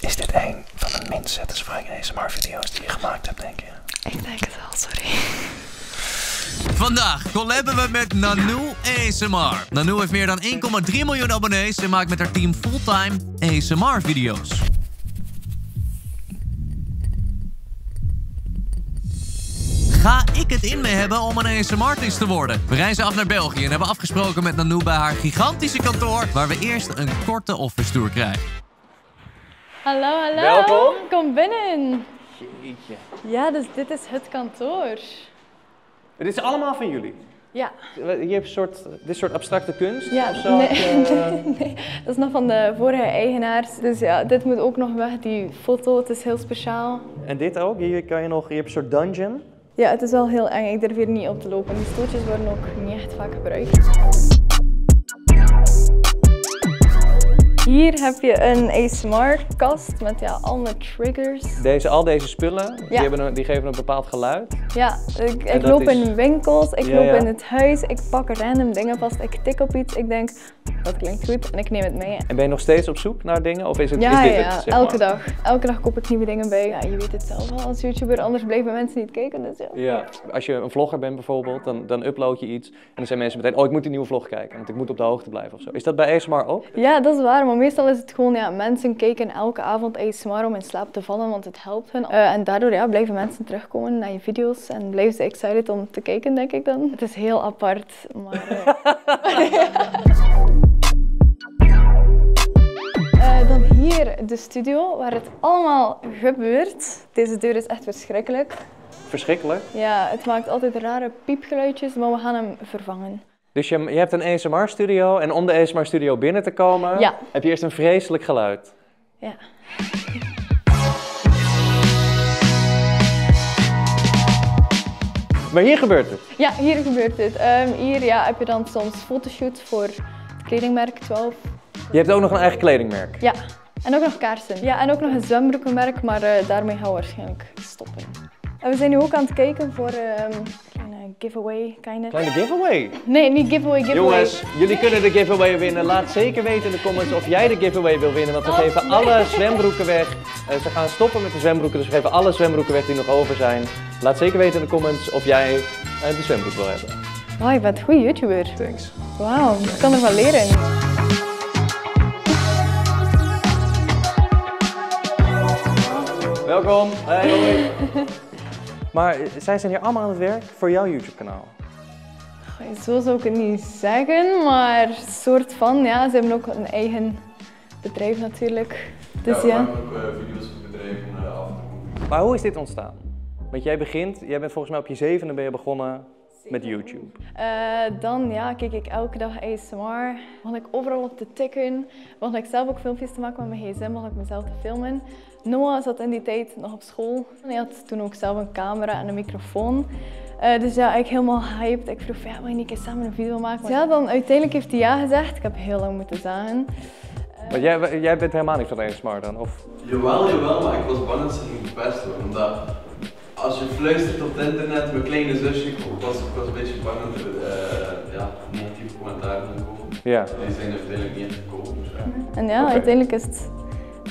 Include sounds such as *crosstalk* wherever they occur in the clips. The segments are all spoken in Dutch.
Is dit een van de minst satisfying ASMR video's die je gemaakt hebt, denk je? Ik denk het wel, sorry. Vandaag collaben we met Nanu ASMR. Nanu heeft meer dan 1,3 miljoen abonnees en maakt met haar team fulltime ASMR video's. ga ik het in me hebben om een ASMR-artiest te worden. We reizen af naar België en hebben afgesproken met Nanu bij haar gigantische kantoor... waar we eerst een korte office tour krijgt. Hallo, hallo. Welkom. Kom binnen. Jeetje. Ja, dus dit is het kantoor. Het is allemaal van jullie? Ja. Je hebt een soort, dit soort abstracte kunst? Ja, of zo, nee. Eh, *laughs* nee, dat is nog van de vorige eigenaars. Dus ja, dit moet ook nog weg, die foto. Het is heel speciaal. En dit ook? Hier kan je nog, je hebt een soort dungeon. Ja, het is wel heel eng. Ik durf hier niet op te lopen. Die stoeltjes worden ook niet echt vaak gebruikt. Hier heb je een Smart kast met ja, al triggers. Deze, al deze spullen, die, geven een bepaald geluid. Ja, ik, loop in winkels, ik loop in het huis, ik pak random dingen vast, ik tik op iets, ik denk, dat klinkt goed en ik neem het mee. En ben je nog steeds op zoek naar dingen of is, het, ja, is elke dag. Elke dag koop ik nieuwe dingen bij. Ja, je weet het zelf wel. als YouTuber, anders blijven mensen niet dus als je een vlogger bent bijvoorbeeld, dan, upload je iets. En dan zijn mensen meteen, oh ik moet die nieuwe vlog kijken. Want ik moet op de hoogte blijven ofzo. Is dat bij ASMR ook? Ja, dat is waar. Maar meestal is het gewoon, ja, mensen kijken elke avond ASMR om in slaap te vallen. Want het helpt hun. Eh, en daardoor ja, blijven mensen terugkomen naar je video's. En blijven ze excited om te kijken, denk ik dan. Het is heel apart. Maar, eh. *laughs* Eh, dan hier de studio waar het allemaal gebeurt. Deze deur is echt verschrikkelijk. Verschrikkelijk? Ja, het maakt altijd rare piepgeluidjes, maar we gaan hem vervangen. Dus je, hebt een ASMR-studio en om de ASMR-studio binnen te komen heb je eerst een vreselijk geluid. Ja. Maar hier gebeurt het? Ja, hier gebeurt het. Ehm, hier ja, heb je dan soms fotoshoots voor kledingmerk 12. Je hebt ook nog een eigen kledingmerk? Ja, en ook nog kaarsen. Ja, en ook nog een zwembroekenmerk, maar eh, daarmee gaan we waarschijnlijk stoppen. En we zijn nu ook aan het kijken voor een ehm, een giveaway, kinda. Kleine giveaway? Nee, niet giveaway, giveaway. Jongens, jullie kunnen de giveaway winnen. Laat zeker weten in de comments of jij de giveaway wil winnen. Want we oh. geven alle zwembroeken weg. Eh, ze gaan stoppen met de zwembroeken, dus we geven alle zwembroeken weg die nog over zijn. Laat zeker weten in de comments of jij een eh, zwembroek wil hebben. Wauw, oh, je bent een goede YouTuber. Thanks. Wauw, ik kan er ervan leren. Welkom. Hey. *laughs* maar zij zijn hier allemaal aan het werk voor jouw YouTube-kanaal. Zo zou ik het niet zeggen, maar soort van. Ja, ze hebben ook een eigen bedrijf natuurlijk. Dus, ja, ik ook eh, video's voor eh, af en Maar hoe is dit ontstaan? Want jij begint, jij bent volgens mij op je zevende ben je begonnen met YouTube? Eh, dan ja, keek ik elke dag ASMR. Begon ik overal op te tikken. Begon ik zelf ook filmpjes te maken met mijn gsm. Begon ik mezelf te filmen. Noah zat in die tijd nog op school. Hij had toen ook zelf een camera en een microfoon. dus ja, ik helemaal hyped. Ik vroeg, ja, wil je niet eens samen een video maken? ja, dan uiteindelijk heeft hij ja gezegd. Ik heb heel lang moeten zagen. Maar jij, bent helemaal niet van één smart dan? Of? Jawel, jawel, maar ik was bang het ze niet Omdat als je fluistert op het internet, mijn kleine zusje, ik was, ik een beetje bang dat er uh, ja, negatieve commentaren komen. Ja. Die zijn er uiteindelijk niet gekomen. Dus en ja, uiteindelijk is het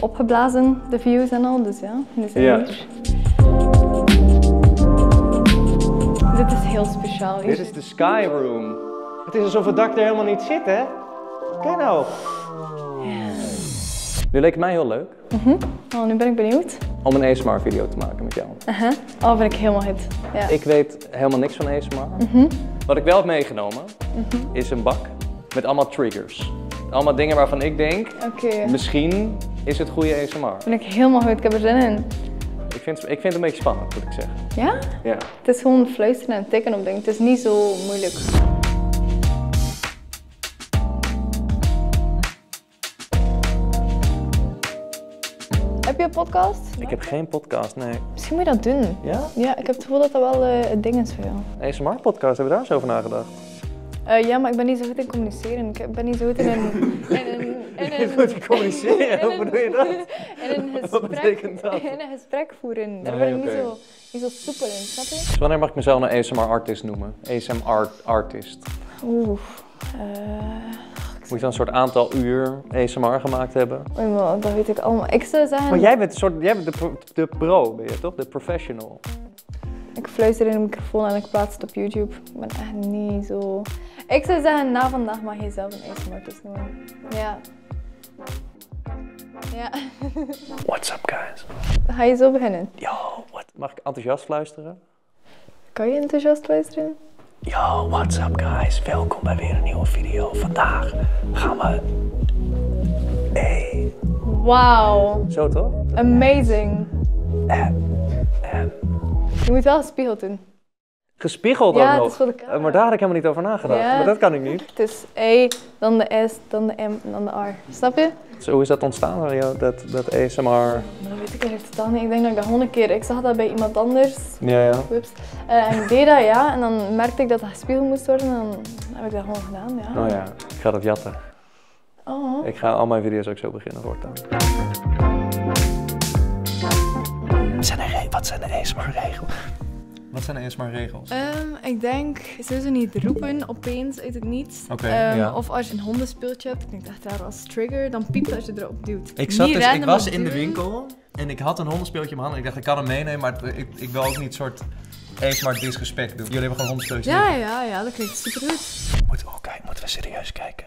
opgeblazen, de views en al, dus ja, ja. Dit is heel speciaal. Dit Skyroom. Het is alsof het dak er helemaal niet zit, hè? Kijk nou. Nu leek het mij heel leuk. oh, nu ben ik benieuwd. Om een ASMR video te maken met jou. Oh, ben ik helemaal hit. Ik weet helemaal niks van ASMR. Mhm. Wat ik wel heb meegenomen mhm. is een bak met allemaal triggers. Allemaal dingen waarvan ik denk, misschien is het goede ASMR. Ben ik helemaal goed, ik heb er zin in. Ik vind, ik vind het een beetje spannend, moet ik zeggen. Ja? Ja. Het is gewoon fluisteren en tikken op dingen. Het is niet zo moeilijk. Heb je een podcast? Ik heb geen podcast, nee. Misschien moet je dat doen. Ja? Ja, ik heb het gevoel dat dat wel uh, het ding is Een smart podcast hebben we daar eens over nagedacht? Eh, ja, maar ik ben niet zo goed in communiceren. Ik ben niet zo goed in een... *laughs* In een, in goed communiceren? Hoe bedoel je dat? *laughs* In *laughs* een gesprek, voeren. Daar ben ik niet, zo, zo soepel in, snap Wanneer mag ik mezelf een ASMR-artist noemen? ASMR-artist. Oeh. Eh, Moet je dan een soort aantal uur ASMR gemaakt hebben? man, dat weet ik allemaal. Ik zou zeggen... Maar jij bent, een soort, jij bent de, pro, ben je toch? De professional. Ik fluister in de microfoon en ik plaats het op YouTube. Ik ben echt niet zo... Ik zou zeggen, na vandaag mag je zelf een asmr artist noemen. Ja, ja. *laughs* What's up, guys? Ga je zo beginnen? Yo, wat? Mag ik enthousiast luisteren? Kan je enthousiast luisteren? Yo, what's up, guys? Welkom bij weer een nieuwe video. Vandaag gaan we... Hey. Wauw. Zo toch? Amazing. Je moet wel een spiegel Gespiegeld dan ook nog. Eh, maar daar had ik helemaal niet over nagedacht. Maar dat kan ik niet. *laughs* Het is E, dan de S, dan de M en dan de R. Snap je? Zo, is dat ontstaan, Dat, dat ASMR? Maar nou, dat weet ik echt totaal niet. Ik denk dat ik dat honderd keer... Ik zag dat bij iemand anders. Ja, ja. Eh, en ik deed dat, ja. En dan merkte ik dat dat gespiegeld moest worden. En dan heb ik dat gewoon gedaan, ja. Oh ja, ik ga dat jatten. Oh. Ik ga al mijn video's ook zo beginnen voortaan. Zijn er, wat zijn de ASMR wat zijn eerst maar regels? Ehm, ik denk, ze niet roepen opeens eet het niets. Ehm, of als je een hondenspeeltje hebt, ik dacht daar als trigger, dan piept als je erop duwt. Ik, zat dus- ik was in de winkel en ik had een hondenspeeltje in mijn hand. Ik dacht, ik kan hem meenemen, maar ik, wil ook niet soort eens maar disrespect doen. Jullie hebben gewoon hondenspeeltje. Ja, ja, ja, dat klinkt super goed. Moeten we oh, moeten we serieus kijken.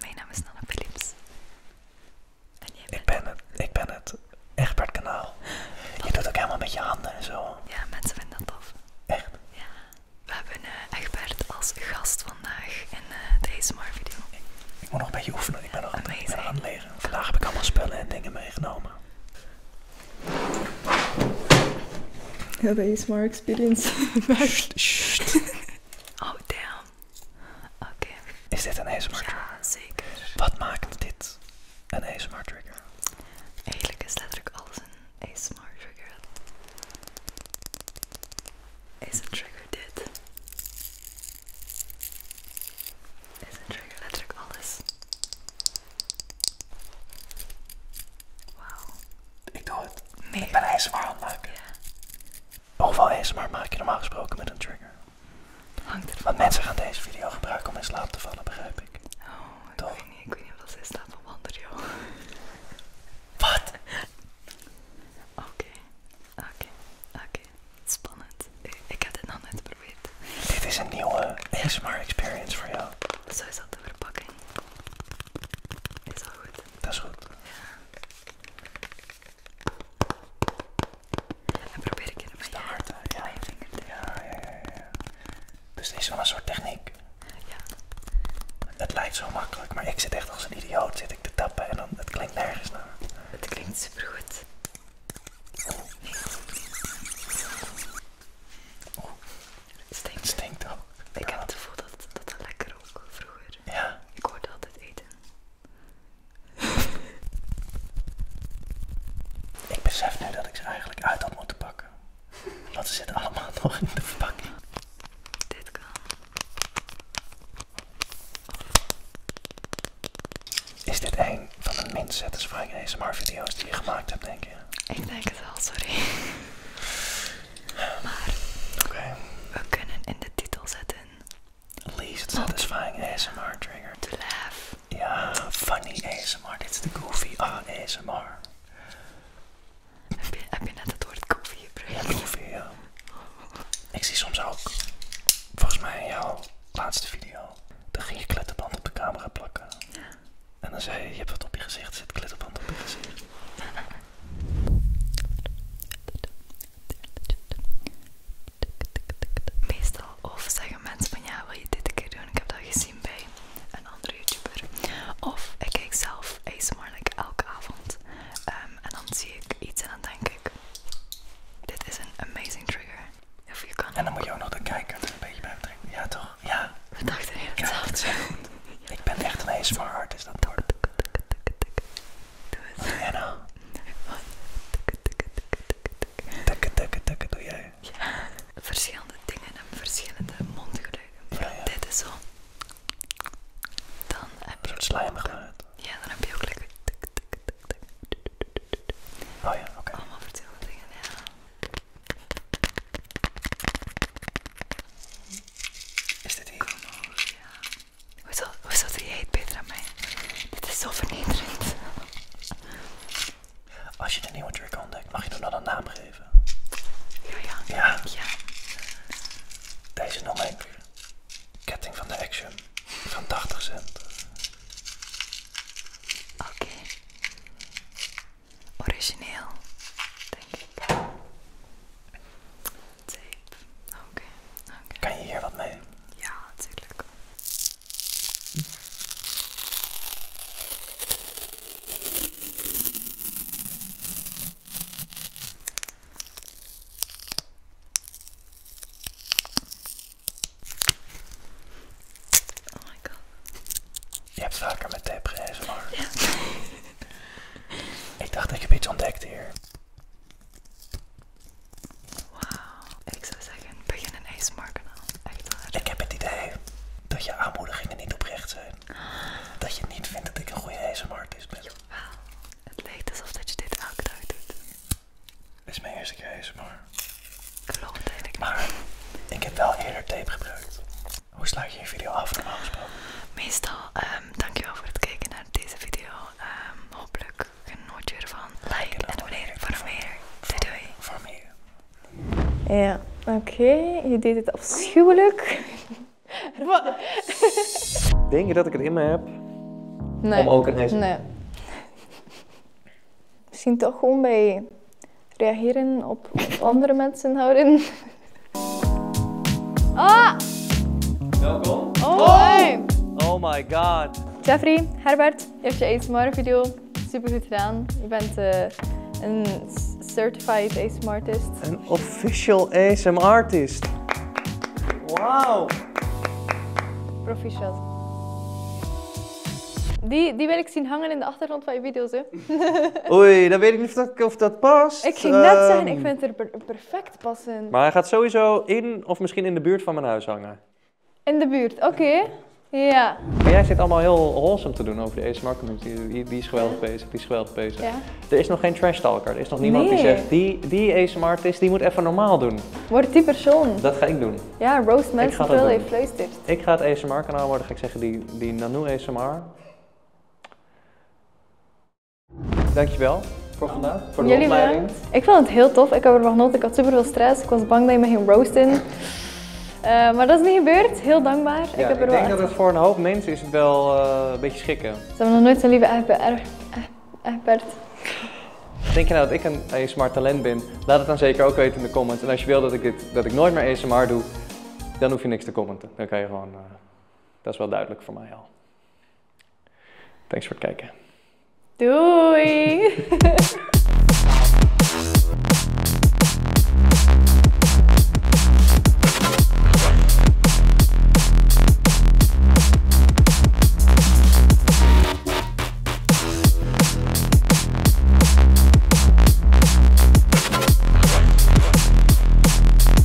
Mijn naam is Nana Philips. En jij Ik ben het, ik ben het Egbert Kanaal. Je doet ook helemaal met je handen en zo. Ja, mensen vinden dat tof. Echt? Ja. We hebben Echtbert Egbert als gast vandaag in de eh, deze ASMR video. Ik, moet nog een beetje oefenen, ik ben nog aan het leren. Vandaag heb ik allemaal spullen en dingen meegenomen. Ja, de smart experience. oh damn. Oké. Is dit een e-smart trigger? Ja, zeker. Wat maakt dit een e-smart trigger? Eigenlijk is letterlijk alles een e-smart trigger. Is een trigger dit? Is een trigger letterlijk alles? Wauw. Ik doe het. Mega. Ik ben ASMR aan Ja. Overal ASMR maak je normaal gesproken met een trigger. Want mensen gaan deze video gebruiken om in slaap te vallen, begrijp ik. Oh, ik Toch? weet niet. Ik weet niet of ze staan slaap van joh. Wat? Oké, oké, oké. Spannend. Ik, heb het nog niet geprobeerd. Dit is een nieuwe ASMR experience voor jou. Zo is dat de verpakking. Is al goed. Dat is goed. En probeer ik het met je hart, ja. Mijn ja, ja, ja, ja. Dus dit is wel een soort techniek. Ja. Het lijkt zo makkelijk, maar ik zit echt als een idioot zit ik te tappen en dan, het klinkt nergens naar. Het klinkt supergoed. Stinkt. Stinkt toch? Ik heb het gevoel dat dat, lekker ook vroeger. Ja. Ik hoorde altijd eten. ik besef nu dat ik ze eigenlijk uit had moeten pakken. Want ze zitten allemaal *laughs* nog in de verpakking. Dit kan. Is dit een van de minst satisfying ASMR video's die je gemaakt hebt, denk je? Ik denk het wel, sorry. Maar we kunnen in de titel zetten. Least satisfying ASMR trigger. To laugh. Ja, funny ASMR. Dit is de goofy ASMR. Heb je, net het woord goofy gebruikt? Ja, goofy, ja. Ik zie soms ook, volgens mij in jouw laatste video, dan ging je klittenband op de camera plakken. En dan zei je, je hebt wat op je gezicht zit, klittenband op je gezicht. *laughs* Meestal of zeggen mensen van ja, wil je dit een keer doen? Ik heb dat gezien bij een andere YouTuber. Of ik kijk zelf Ace like elke avond. Ehm, en dan zie ik iets en dan denk ik, dit is een amazing trigger. Of je kan en dan moet je ook nog de kijker een beetje bij betrekken. Ja toch? Ja. We dachten heel hetzelfde. *laughs* Ik ben echt een hard is dat wordt. Doe eens. Anna. Tikke, tikke, tikke, doe jij. Ja. Verschillende dingen en verschillende mondgeluiden. Dit is zo. Dan heb je ook... slijmig uit. Ja, dan heb je ook lekker... Oh ja, oké. Allemaal verschillende dingen, ja. Is dit hier? Kom over, ja. Hoezo, hoezo doe jij het beter aan mij? Dit is zo vernederend. Als je de nieuwe drink ontdekt, mag je hem dan een naam geven? Ja, ja. Ja? Deze noem ketting van de Action van 80 cent. Oké. Origineel, denk ik tape. Oké, Kan je hier wat mee? Ja, natuurlijk. Oh my god. Je hebt vaker met tape gerezen, maar... *laughs* ik dacht, dat je iets ontdekt hier. Wauw, ik zou zeggen, begin een ijsmarkanaal. Echt waar. Ik heb het idee dat je aanmoedigingen niet oprecht zijn. Dat je niet vindt dat ik een goede is ben. Wauw. het leek alsof dat je dit elke dag doet. Dit is mijn eerste keer ASMR. Ik eigenlijk Maar ik heb wel eerder tape gebruikt. Hoe sluit je een video af normaal gesproken? Meestal Ehm, dankjewel voor het kijken naar deze video. Ehm, hopelijk genoot je ervan. Like en abonneer voor meer. Doei doei. Voor meer. Ja, oké. Je deed het afschuwelijk. Denk je dat ik het in me heb? Nee. Om ook een te Nee. Misschien toch gewoon bij reageren op andere mensen houden. *laughs* Oh! Welkom. Oh, oh! oh. my god. Jeffrey, Herbert, je hebt je ASMR video super goed gedaan. Je bent eh, een certified ASMR artist. Een official ASMR artist. Wauw. Proficiat. Die, die wil ik zien hangen in de achtergrond van je video's, hè? Oei, dan weet ik niet of dat, of dat past. *laughs* Ik ging net ehm. zeggen, ik vind het er perfect maar hij gaat sowieso in of misschien in de buurt van mijn huis hangen. In de buurt, oké. Ja. Maar jij zit allemaal heel wholesome te doen over de ASMR community. Die, is geweldig bezig, die is geweldig bezig. Er is nog geen trash talker. Er is nog niemand die zegt, die, die ASMR tist die moet even normaal doen. Wordt die persoon. Dat ga ik doen. Ja, roast mensen heeft vleestips. Ik ga het ASMR kanaal worden, ga ik zeggen, die, die Nanoe ASMR. Dankjewel voor vandaag, voor de opleiding. Ik vond het heel tof. Ik heb ervan genoten. Ik had super veel stress. Ik was bang dat je me ging roasten. Eh, maar dat is niet gebeurd. Heel dankbaar. ik, heb er ik denk dat het voor een hoop mensen is wel eh, een beetje schikken. Ze hebben nog nooit zo'n lieve Egbert. Denk je nou dat ik een ASMR talent ben? Laat het dan zeker ook weten in de comments. En als je wil dat ik, dat ik nooit meer ASMR doe, dan hoef je niks te commenten. Dan kan je gewoon... Eh, dat is wel duidelijk voor mij al. Thanks voor kijken. Doei!